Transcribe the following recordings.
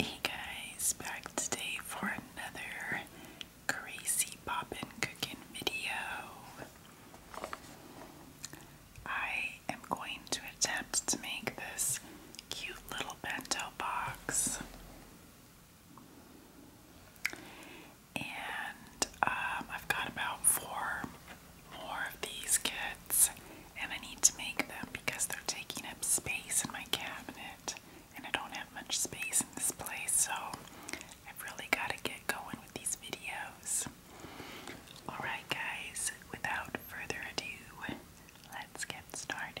Hey guys, back today for another crazy poppin' cooking video. I am going to attempt to make this cute little bento box and um, I've got about four more of these kits, and I need to make them because they're taking up space in my cabinet, and I don't have much space in this place, so I've really got to get going with these videos. Alright, guys, without further ado, let's get started.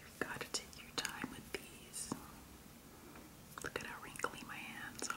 You've got to take your time with these. Look at how wrinkly my hands are.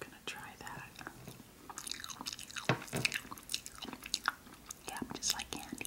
gonna try that. Yeah, just like candy.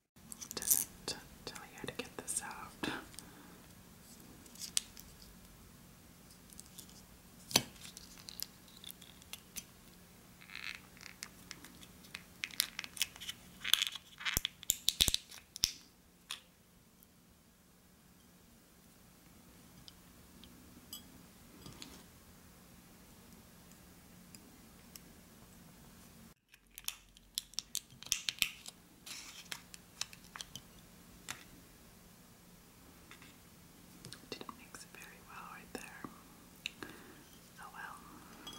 It doesn't tell you how to get this out. Didn't mix it very well right there. Oh well.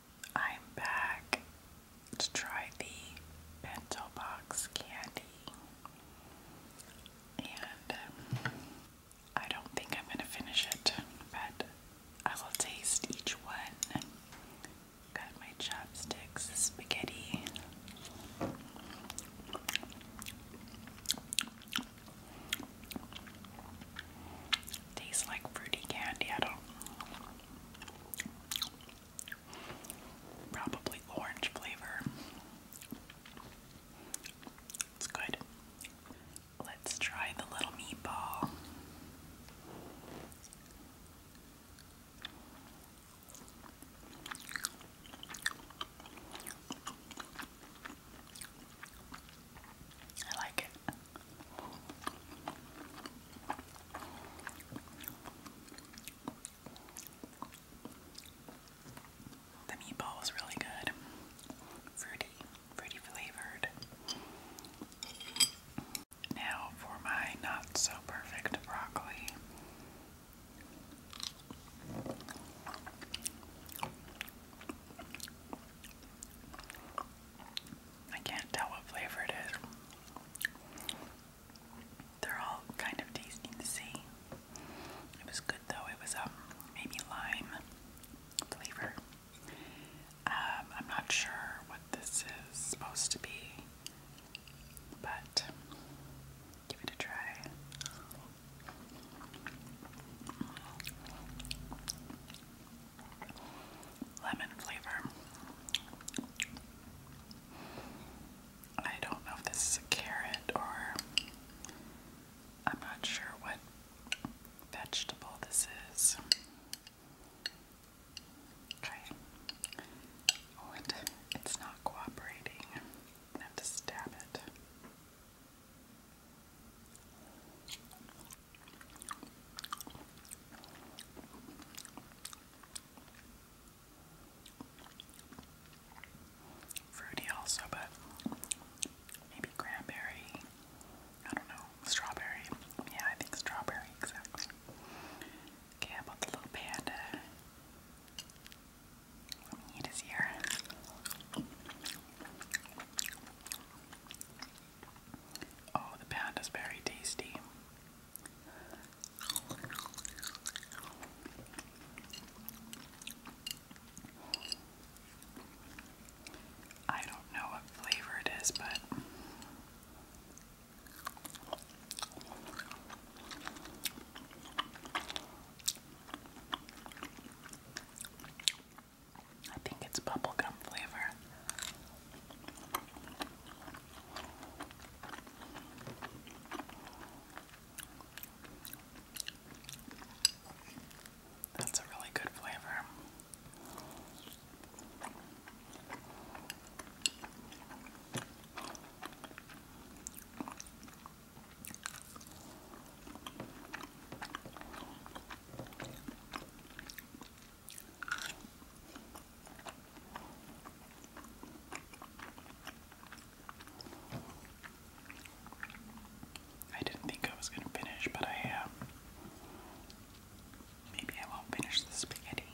I'm back to try the bento box candy. And um, I don't think I'm going to finish it, but I will taste each one. Got my chopsticks, spaghetti. Tastes like fruity candy. I don't. Probably orange flavor. It's good. Let's try the little meatball. I like it. The meatball was really good. Fruity, fruity flavored. Now for my not so perfect broccoli. I can't tell what flavor it is. They're all kind of tasty to see. It was good though. It was um maybe lime flavor. Um, I'm not sure what this is supposed to be, but give it a try. Lemon flavor. I don't know if this is a carrot or I'm not sure what vegetable this is. Okay. Oh, it's not cooperating. I have to stab it. Fruity also, but maybe cranberry. I don't know. Strawberry. Yeah, I think strawberry, exactly. Okay, about the little panda? Let me eat his ear. Oh, the panda's very tasty. I don't know what flavor it is, but I think it's bubblegum flavor. That's a really good flavor. I didn't think I was going to finish, but I have. Maybe I won't finish the spaghetti.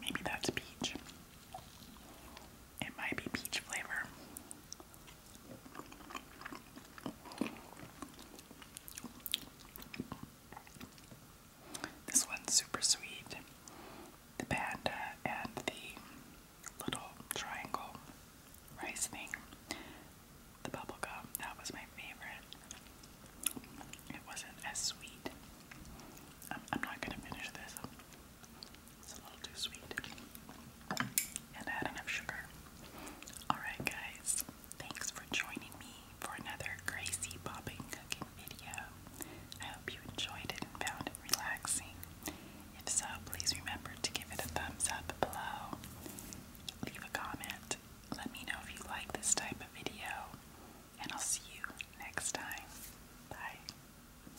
Maybe that's peach. It might be peach flavor. This one's super sweet. The panda and the little triangle rice thing. The bubblegum, that was my favorite. It wasn't as sweet. I'm, not gonna finish this. It's a little too sweet. And add enough sugar. Alright, guys, thanks for joining me for another crazy popping cooking video. I hope you enjoyed it and found it relaxing. If so, please remember to give it a thumbs up below. Leave a comment. Let me know if you like this type of video. And I'll see you next time. Bye.